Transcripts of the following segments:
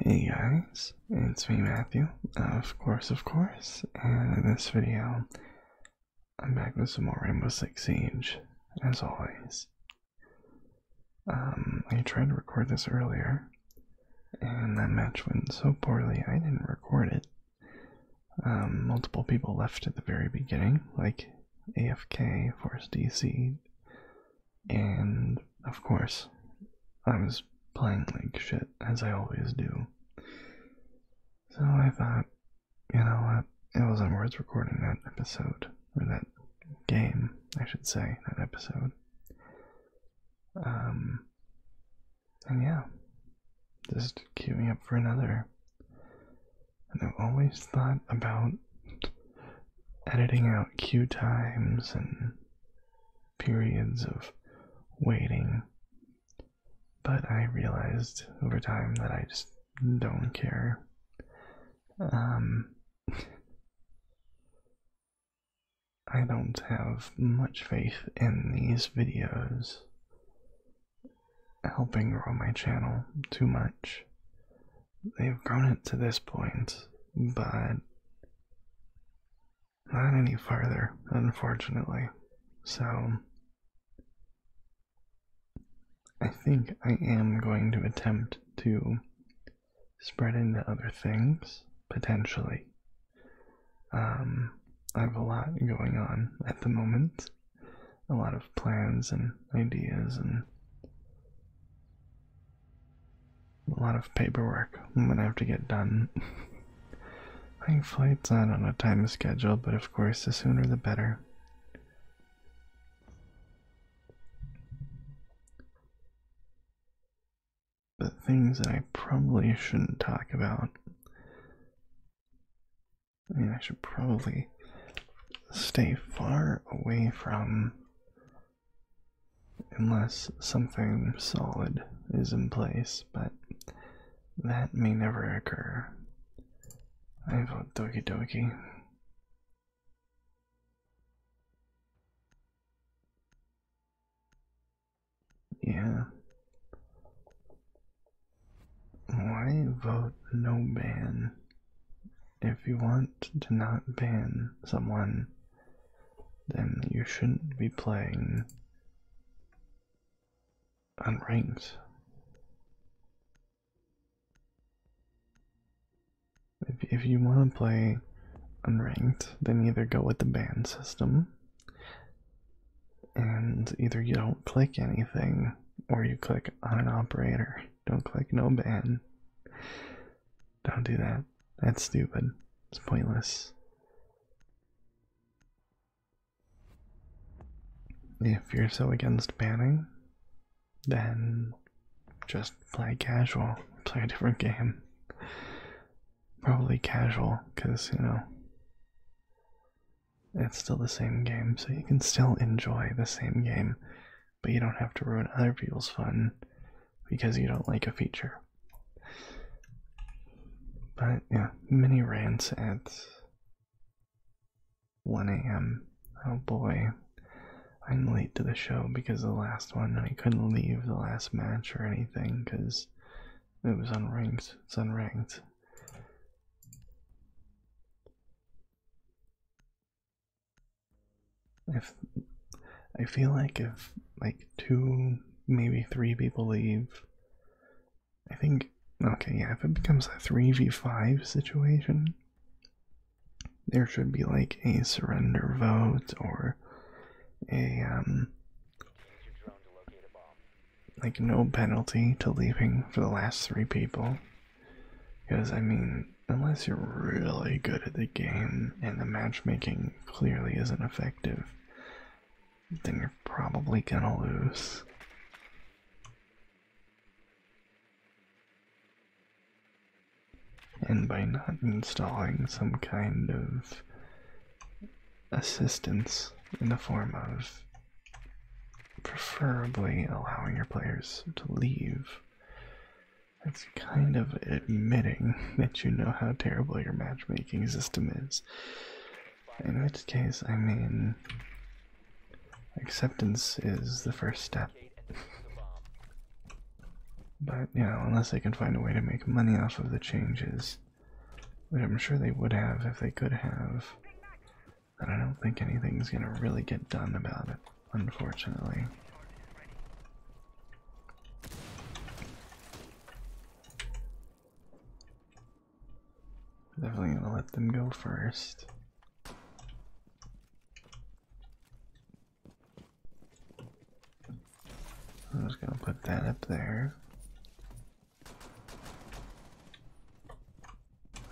Hey guys, it's me Matthew, of course, of course, and in this video, I'm back with some more Rainbow Six Siege, as always. Um, I tried to record this earlier, and that match went so poorly I didn't record it. Um, multiple people left at the very beginning, like AFK, Force DC, and of course, I was playing like shit, as I always do. So I thought, you know it wasn't worth recording that episode, or that game, I should say, that episode. Um, and yeah, just queue me up for another. And I've always thought about editing out cue times and periods of waiting. But I realized over time that I just don't care. Um, I don't have much faith in these videos helping grow my channel too much. They've grown it to this point, but not any farther, unfortunately. So, I think I am going to attempt to spread into other things, potentially. Um, I have a lot going on at the moment, a lot of plans and ideas and a lot of paperwork I'm gonna have to get done. My flight's not on a time schedule, but of course, the sooner the better. But things that I probably shouldn't talk about. I mean, I should probably stay far away from unless something solid is in place, but that may never occur. I vote Doki Doki. Yeah. Why vote no ban? if you want to not ban someone, then you shouldn't be playing unranked. If, if you want to play unranked, then either go with the ban system and either you don't click anything or you click on an operator. Don't click no ban. Don't do that. That's stupid. It's pointless. If you're so against banning, then just play casual. Play a different game. Probably casual, because, you know, it's still the same game, so you can still enjoy the same game but you don't have to ruin other people's fun because you don't like a feature. But yeah, mini rants at 1 a.m. Oh boy, I'm late to the show because the last one, I couldn't leave the last match or anything because it was unranked. It's unranked if I feel like if like two, maybe three people leave, I think okay, yeah, if it becomes a three v five situation, there should be like a surrender vote or a um like no penalty to leaving for the last three people. Because, I mean, unless you're really good at the game and the matchmaking clearly isn't effective, then you're probably gonna lose. And by not installing some kind of assistance in the form of preferably allowing your players to leave, that's kind of admitting that you know how terrible your matchmaking system is. In which case, I mean, acceptance is the first step. but, you know, unless they can find a way to make money off of the changes, which I'm sure they would have if they could have, then I don't think anything's gonna really get done about it unfortunately. Definitely gonna let them go first. I'm just gonna put that up there.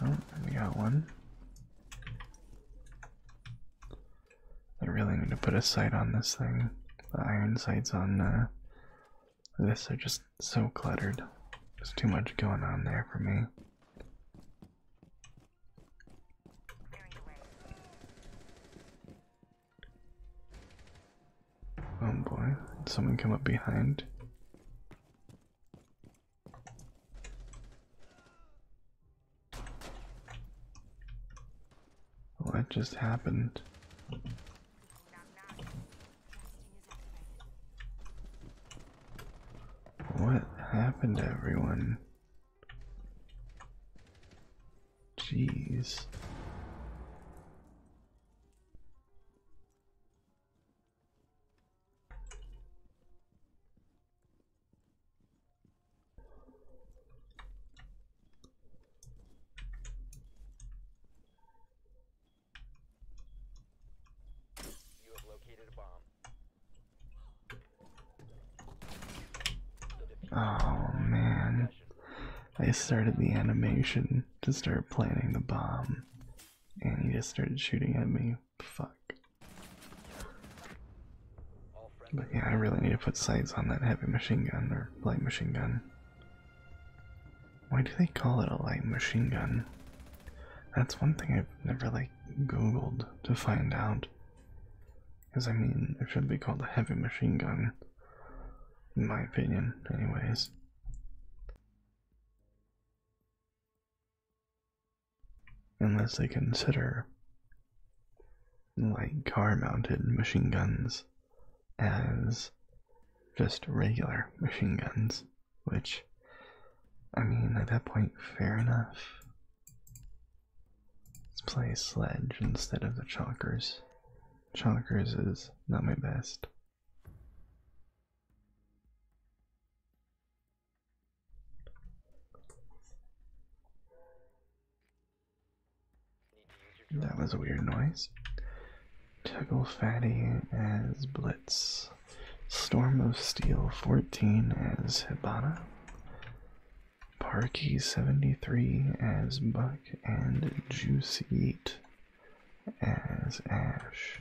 Oh, we got one. I really need to put a sight on this thing. The iron sights on uh, this are just so cluttered. There's too much going on there for me. Oh boy, did someone come up behind? What oh, just happened? What happened, everyone? Jeez. Oh man. I started the animation to start planting the bomb, and he just started shooting at me. Fuck. But yeah, I really need to put sights on that heavy machine gun or light machine gun. Why do they call it a light machine gun? That's one thing I've never like googled to find out. Because I mean, it should be called a heavy machine gun. In my opinion, anyways unless they consider like car mounted machine guns as just regular machine guns, which I mean, at that point, fair enough. Let's play Sledge instead of the Chalkers. Chalkers is not my best. That was a weird noise. Tuggle Fatty as Blitz. Storm of Steel 14 as Hibana. Parky 73 as Buck and Juicy Eat as Ash.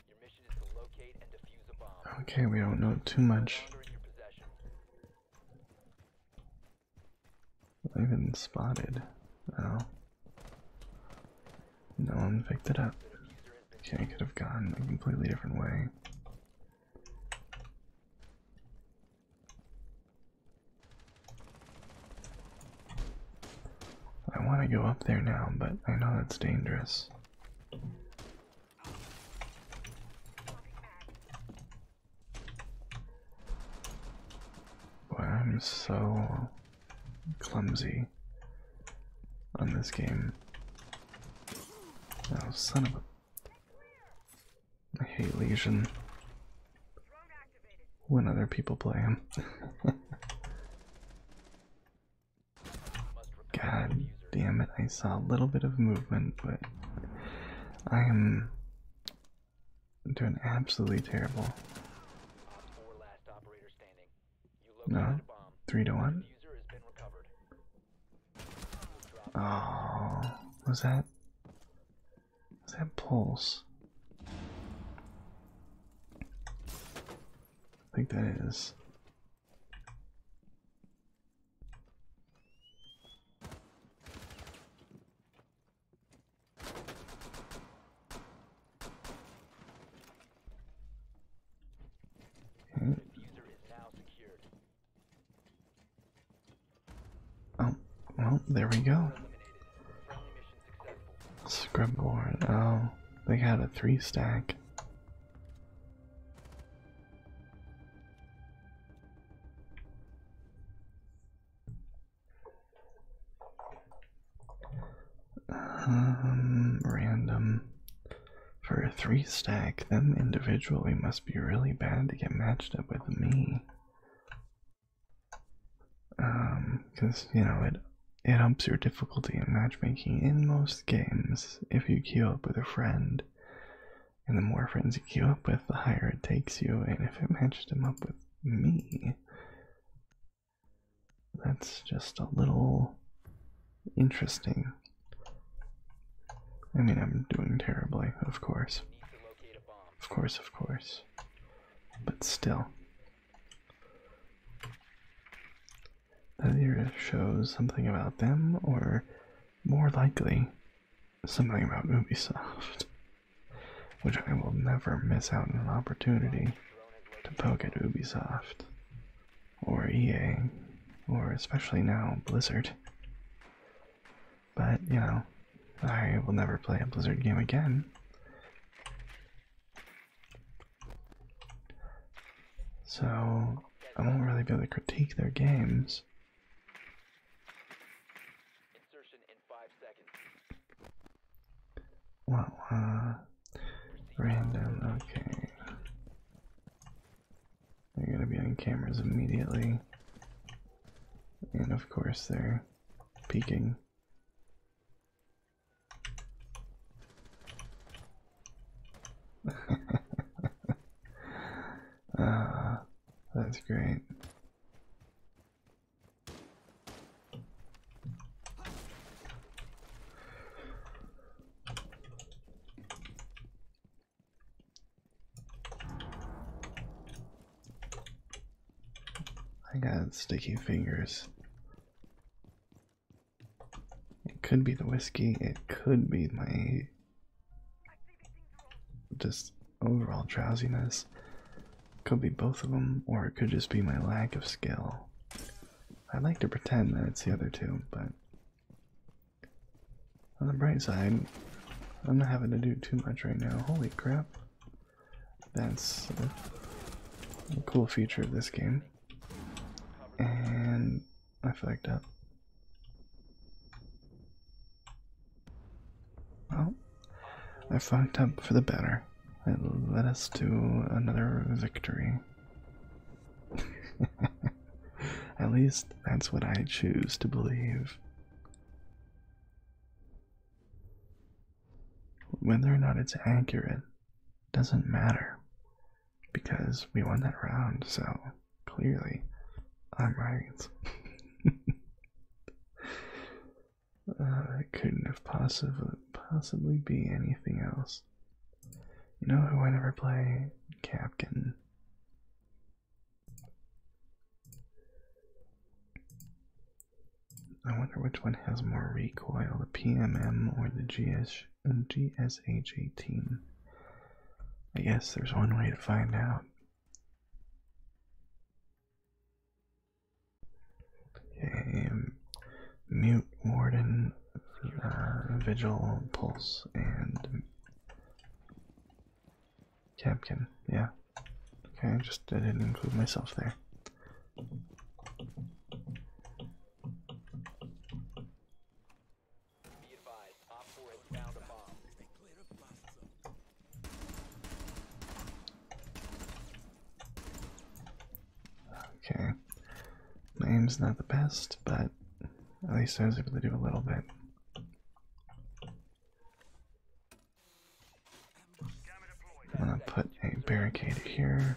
Okay, we don't know too much. I've been spotted. Oh. No one picked it up. Okay, could have gone a completely different way. I want to go up there now, but I know that's dangerous. I'm so clumsy on this game. Oh, son of a. I hate Legion when other people play him. God damn it, I saw a little bit of movement, but I am doing absolutely terrible. No, three to one. Oh, was that? Is that pulse? I think that is. Oh, well, there we go. Scrub board. Oh, they have a three stack. Um, random. For a three stack, them individually must be really bad to get matched up with me. Um, because, you know, it, it ups your difficulty in matchmaking in most games if you queue up with a friend. And the more friends you queue up with, the higher it takes you. And if it matched him up with me, that's just a little interesting. I mean, I'm doing terribly, of course. Of course, of course. But still either shows something about them or more likely something about Ubisoft, which I will never miss out on an opportunity to poke at Ubisoft or EA or especially now Blizzard. But, you know, I will never play a Blizzard game again. So I won't really be able to critique their games. Insertion uh, random, okay. They're gonna be on cameras immediately. And of course, they're peeking. Ah, that's great. I got sticky fingers. It could be the whiskey, it could be my just overall drowsiness. Could be both of them, or it could just be my lack of skill. i like to pretend that it's the other two, but on the bright side, I'm not having to do too much right now. Holy crap. That's a cool feature of this game. And I flagged up. Well, I fucked up for the better. It led us to another victory. At least that's what I choose to believe. Whether or not it's accurate doesn't matter because we won that round, so clearly I'm right. uh, it couldn't have possibly possibly be anything else. You know who I never play? Captain. I wonder which one has more recoil, the PMM or the GSG. GSH18. I guess there's one way to find out. Okay, um, mute warden, uh, vigil, pulse, and Capkin, yeah. Okay, I just didn't include myself there. Okay. My aim's not the best, but at least I was able to do a little bit. I'm gonna put a barricade here.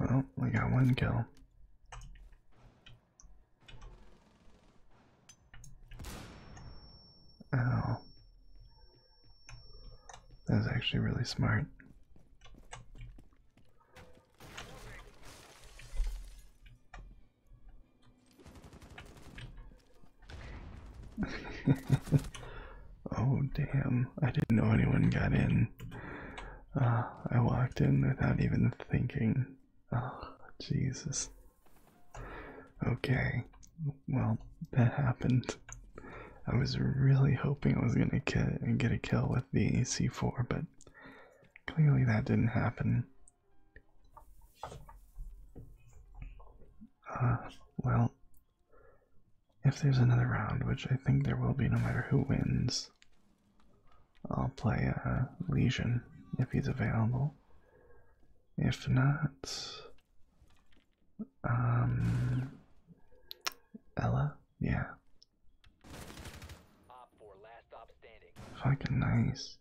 Well, we got one kill. Oh. That was actually really smart. oh, damn. I didn't know anyone got in. Uh, I walked in without even thinking. Oh, Jesus. Okay. Well, that happened. I was really hoping I was gonna get, get a kill with the C4, but clearly that didn't happen. Uh, well, if there's another round, which I think there will be no matter who wins, I'll play a Legion if he's available. If not, um, Ella, yeah. Fucking nice.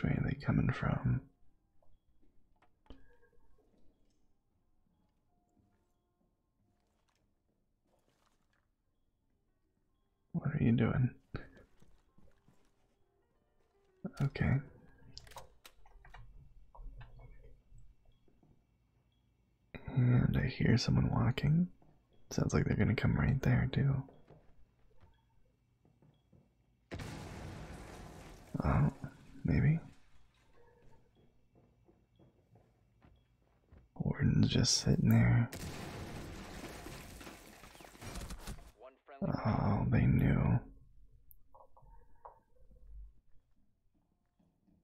Where are they coming from? What are you doing? Okay. And I hear someone walking. Sounds like they're gonna come right there, too. Oh, maybe. Warden's just sitting there. Oh, they knew.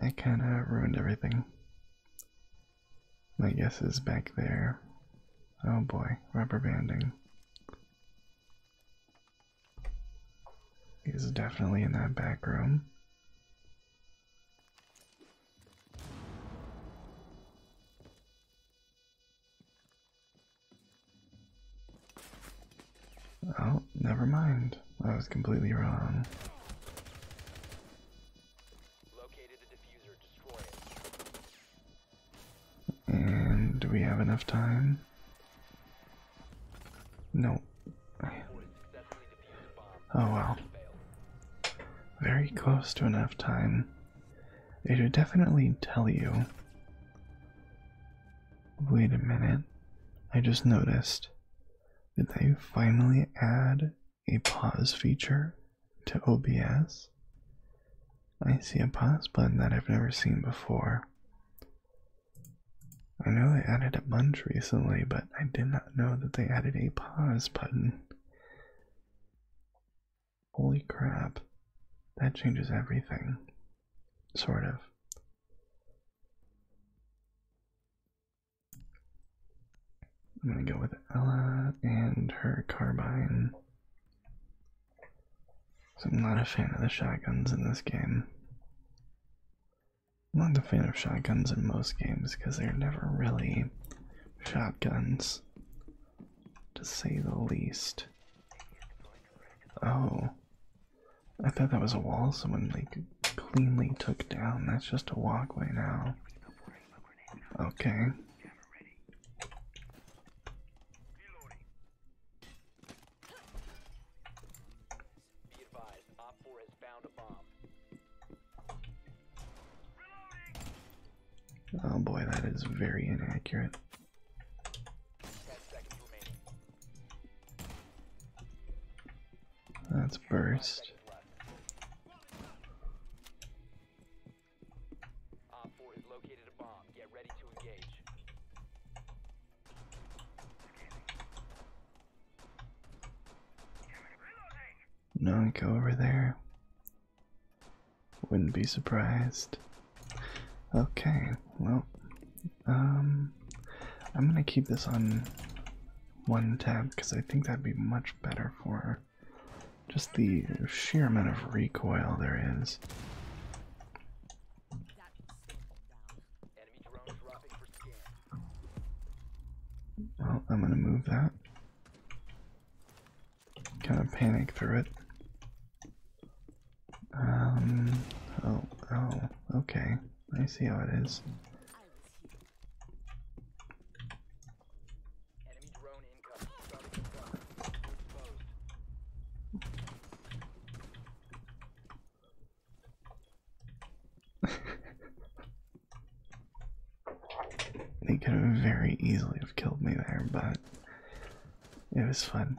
That kind of ruined everything. My guess is back there. Oh boy, rubber banding. He's definitely in that back room. Oh, never mind. I was completely wrong. And do we have enough time? No. Oh well. Very close to enough time. It should definitely tell you. Wait a minute. I just noticed. Did they finally add a pause feature to OBS? I see a pause button that I've never seen before. I know they added a bunch recently, but I did not know that they added a pause button. Holy crap. That changes everything. Sort of. I'm gonna go with Ella and her carbine. So I'm not a fan of the shotguns in this game. I'm not a fan of shotguns in most games because they're never really shotguns, to say the least. Oh, I thought that was a wall someone like cleanly took down. That's just a walkway now. Okay. Oh boy, that is very inaccurate. That's burst. No, go over there. Wouldn't be surprised. Okay, well, um, I'm gonna keep this on one tab because I think that'd be much better for just the sheer amount of recoil there is. Well, I'm gonna move that. Kind of panic through it. Um. Oh. Oh. Okay. I see how it is. they could have very easily have killed me there, but it was fun.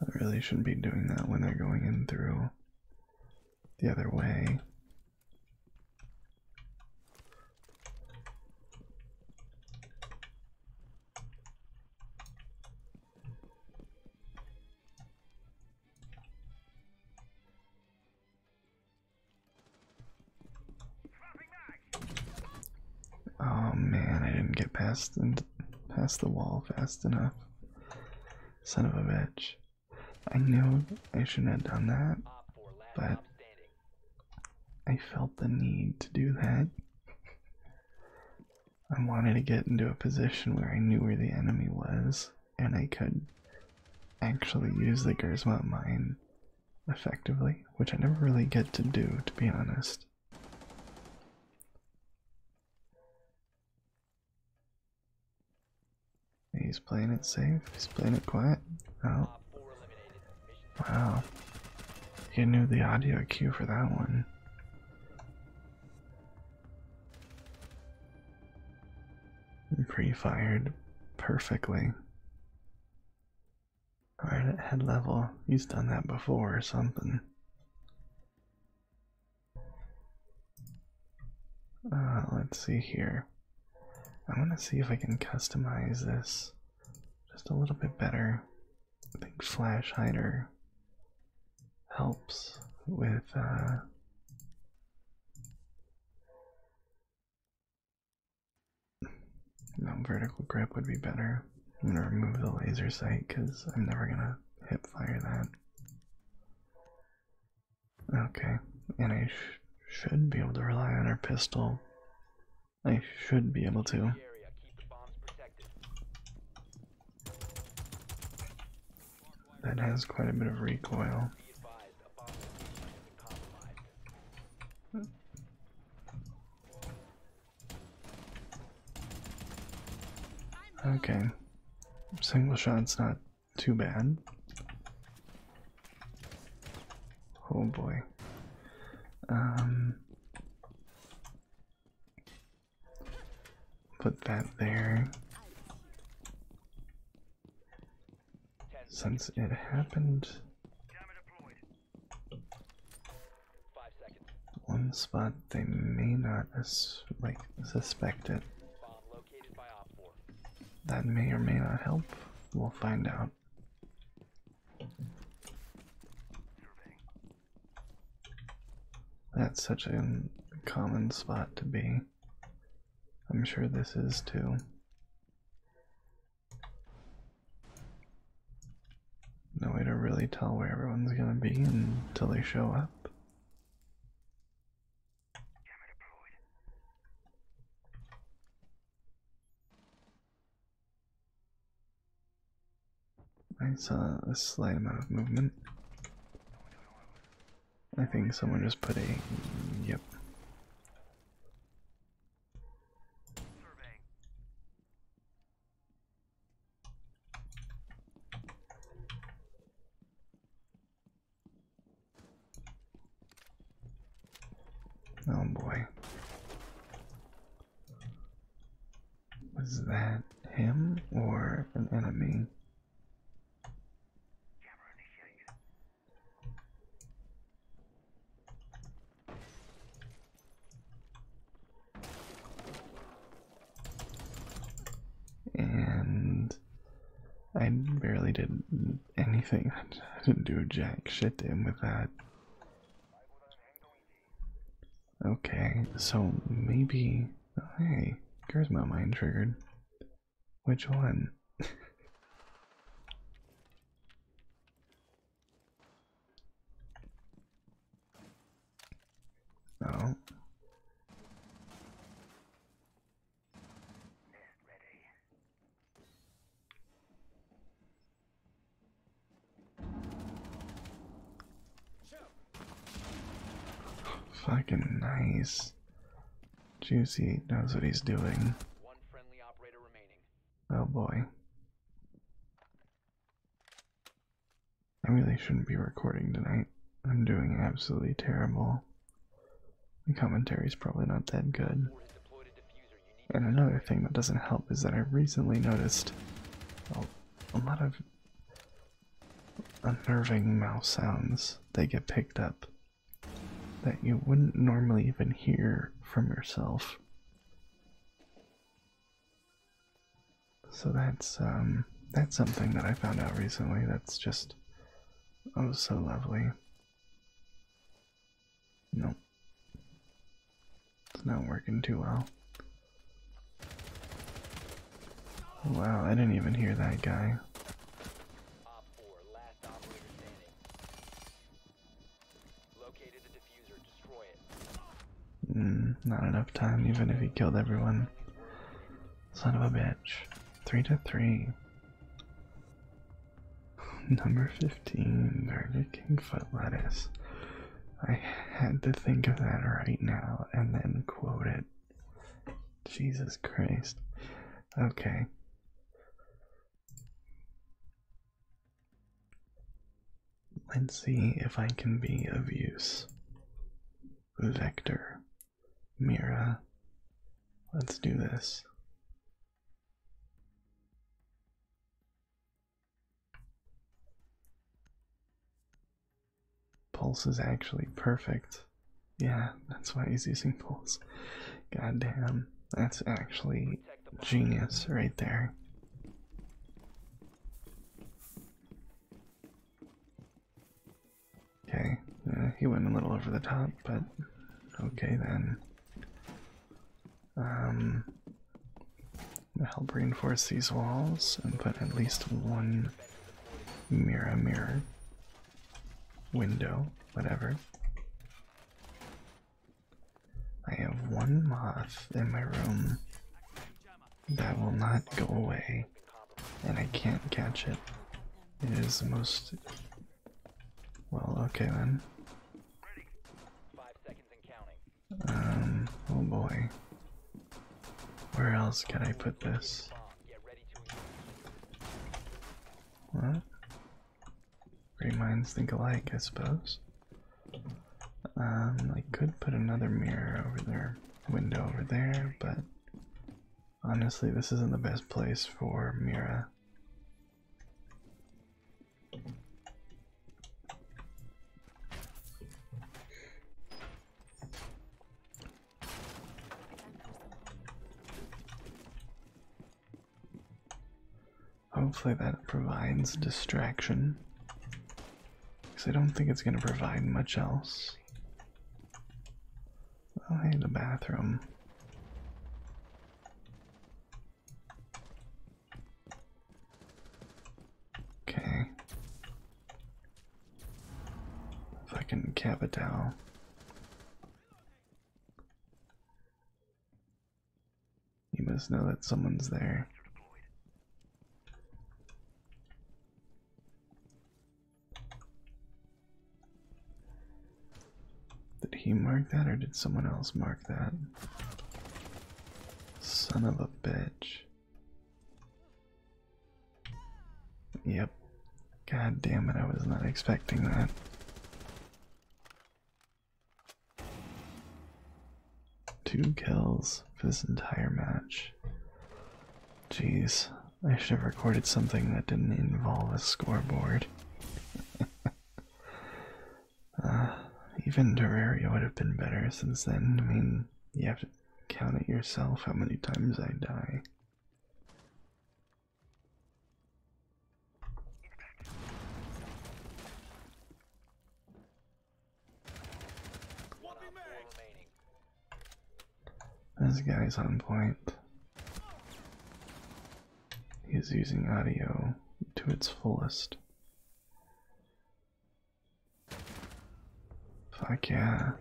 I really shouldn't be doing that when they're going in through the other way. Oh man, I didn't get past and past the wall fast enough. Son of a bitch. I knew I shouldn't have done that, but I felt the need to do that. I wanted to get into a position where I knew where the enemy was and I could actually use the Gersma mine effectively, which I never really get to do, to be honest. He's playing it safe, he's playing it quiet. Oh. Wow. He knew the audio cue for that one pre fired perfectly. Right at head level, he's done that before or something. Uh, let's see here. I want to see if I can customize this just a little bit better. I think Flash Hider helps with. Uh, no, um, vertical grip would be better. I'm gonna remove the laser sight because I'm never gonna hip fire that. Okay, and I should be able to rely on our pistol. I should be able to. That has quite a bit of recoil. Okay, single shot's not too bad. Oh boy. Um, put that there since it happened. One spot they may not suspect it. That may or may not help. We'll find out. That's such a common spot to be. I'm sure this is too. No way to really tell where everyone's gonna be until they show up. I saw a slight amount of movement. I think someone just put a. Yep. Oh boy. Was that him or an enemy? And I barely did anything. I didn't do jack shit to with that. Okay, so maybe. Oh, hey, hey, my mind triggered. Which one? no. Fucking nice. Juicy knows what he's doing. Oh boy. I really shouldn't be recording tonight. I'm doing absolutely terrible. The commentary's probably not that good. And another thing that doesn't help is that I recently noticed a lot of unnerving mouse sounds. They get picked up that you wouldn't normally even hear from yourself. So that's um that's something that I found out recently that's just oh so lovely. Nope. It's not working too well. Wow, I didn't even hear that guy. Hmm, not enough time, even if he killed everyone. Son of a bitch. 3 to 3. Number 15, Burger King Lettuce. I had to think of that right now and then quote it. Jesus Christ. Okay. Let's see if I can be of use. Vector. Mira. Let's do this. Pulse is actually perfect. Yeah, that's why he's using pools. Goddamn, that's actually genius right there. Okay, uh, he went a little over the top, but okay then. Um, help reinforce these walls and put at least one mirror mirror window, whatever. I have one moth in my room that will not go away, and I can't catch it. It is the most. Well, okay then. Um, oh boy. Where else can I put this? Well, great minds think alike, I suppose. Um, I could put another mirror over there, window over there, but honestly, this isn't the best place for Mira. Hopefully that provides distraction. Because I don't think it's going to provide much else. Oh, hey, the bathroom. Okay. Fucking capital. You must know that someone's there. Did he mark that or did someone else mark that? Son of a bitch. Yep. God damn it, I was not expecting that. Two kills for this entire match. Jeez, I should have recorded something that didn't involve a scoreboard. Uh, even Terraria would have been better since then. I mean, you have to count it yourself how many times I die. This guy's on point. He's using audio to its fullest. Fuck yeah.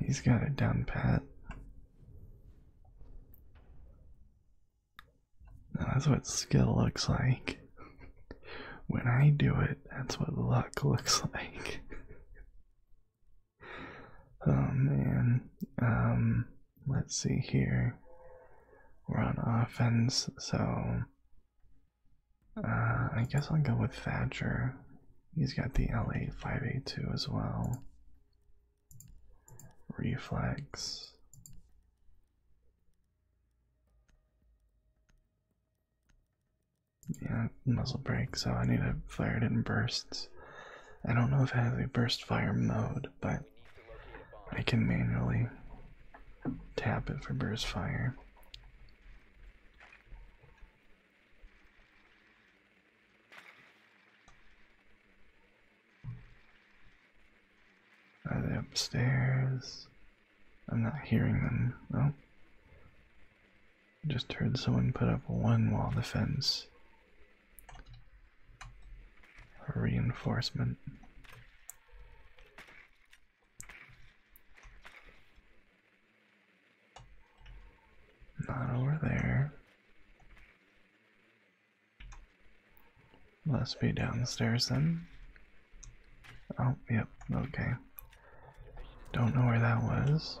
He's got it down pat. that's what skill looks like. when I do it, that's what luck looks like. oh man. Um, let's see here. We're on offense, so uh, I guess I'll go with Thatcher. He's got the L8582 as well. Reflex. Yeah, muzzle break. so I need to fire it in bursts. I don't know if it has a burst fire mode but I can manually tap it for burst fire. Are they upstairs? I'm not hearing them. No. Oh. Just heard someone put up one wall defense. Reinforcement. Not over there. Must be downstairs then. Oh, yep, okay. Don't know where that was.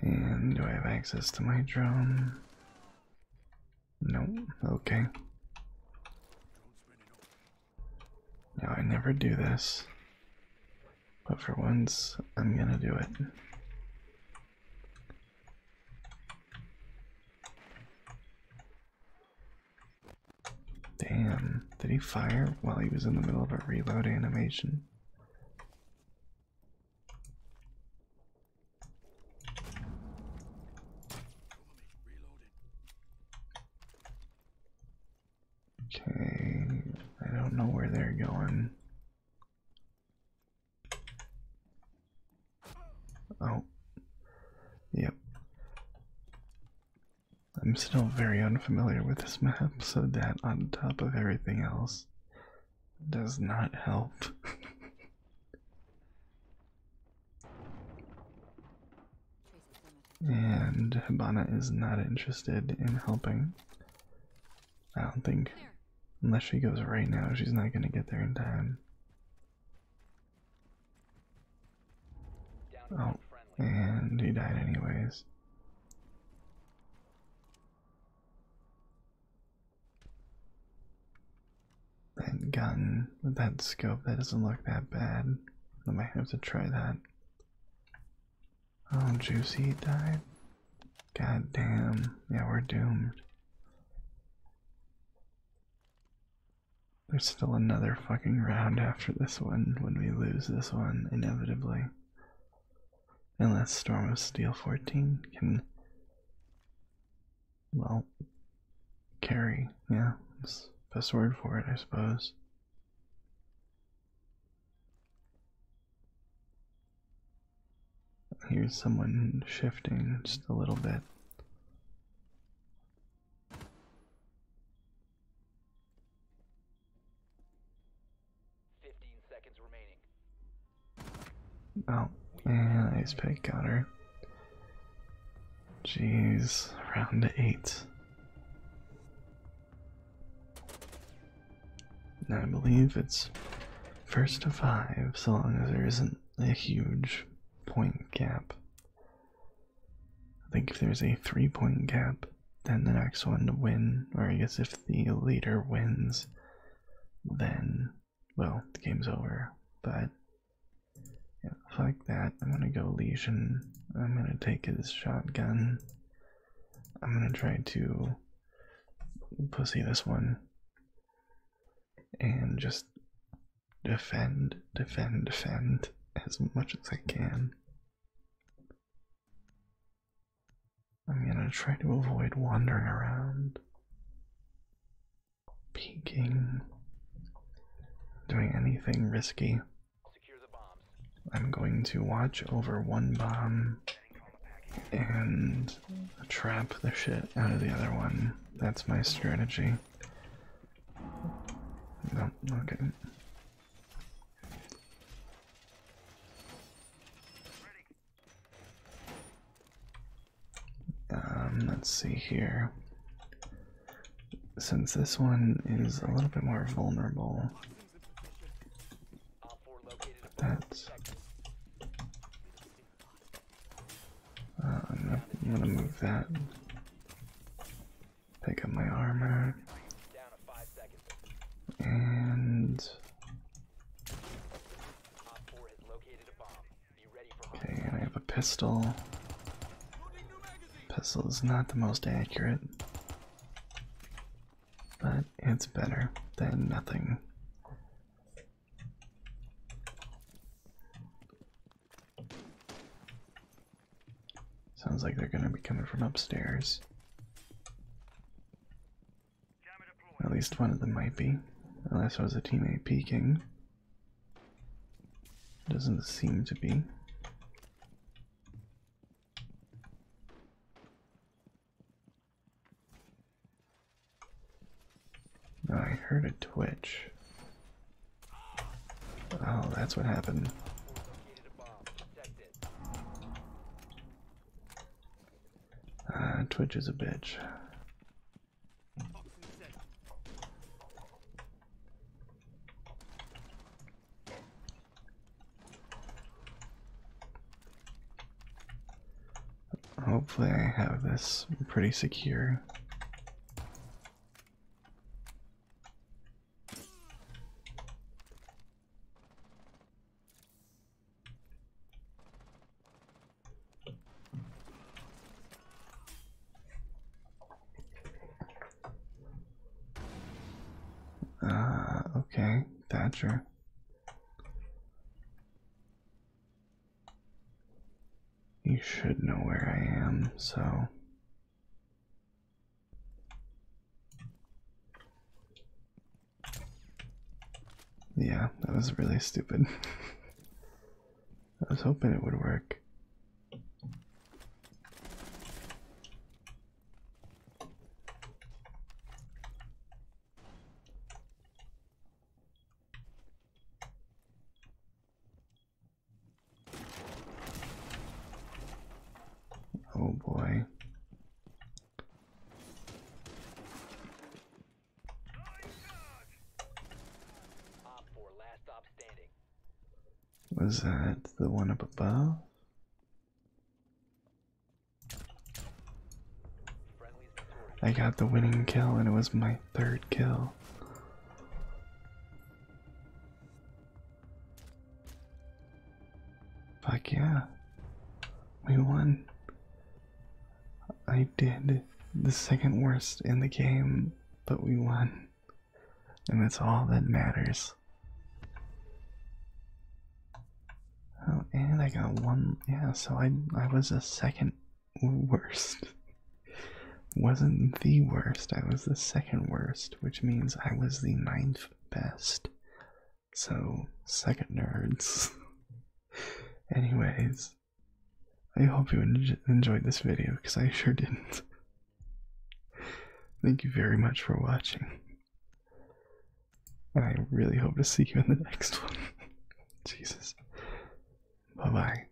And do I have access to my drone? Nope. Okay. Now I never do this, but for once I'm gonna do it. Damn, did he fire while he was in the middle of a reload animation? Okay, I don't know where they're going. Oh, yep. I'm still very unfamiliar with this map, so that on top of everything else does not help. and Habana is not interested in helping. I don't think, unless she goes right now, she's not going to get there in time. Oh, and he died anyways. That gun with that scope, that doesn't look that bad. I might have to try that. Oh, Juicy died? God damn. Yeah, we're doomed. There's still another fucking round after this one when we lose this one, inevitably. Unless Storm of Steel 14 can, well, carry. Yeah, that's the best word for it, I suppose. Here's someone shifting just a little bit. Oh, man, nice pick, got her. Jeez, round eight. And I believe it's first to five, so long as there isn't a huge point gap. I think if there's a three point gap, then the next one to win, or I guess if the leader wins, then, well, the game's over. But, like that. I'm gonna go Legion. I'm gonna take his shotgun. I'm gonna try to pussy this one and just defend, defend, defend as much as I can. I'm gonna try to avoid wandering around, peeking, doing anything risky. I'm going to watch over one bomb and trap the shit out of the other one. That's my strategy. No, Um, let's see here. Since this one is a little bit more vulnerable, that's. Uh, I'm gonna move that Pick up my armor. And okay, I have a pistol. Pistol is not the most accurate, but it's better than nothing. Sounds like they're gonna be coming from upstairs. At least one of them might be. Unless it was a teammate peeking. Doesn't seem to be. Oh, I heard a twitch. Oh, that's what happened. Ah, Twitch is a bitch. Hopefully I have this pretty secure. Uh, okay, Thatcher. You should know where I am, so yeah, that was really stupid. I was hoping it would work. Oh boy. Was that the one up above? I got the winning kill and it was my third kill. Fuck yeah. We won. I did the second worst in the game, but we won. And that's all that matters. Oh, and I got one. Yeah, so I I was the second worst wasn't the worst. I was the second worst, which means I was the ninth best. So, second nerds. Anyways, I hope you enjoyed this video because I sure didn't. Thank you very much for watching. And I really hope to see you in the next one. Jesus. Bye bye.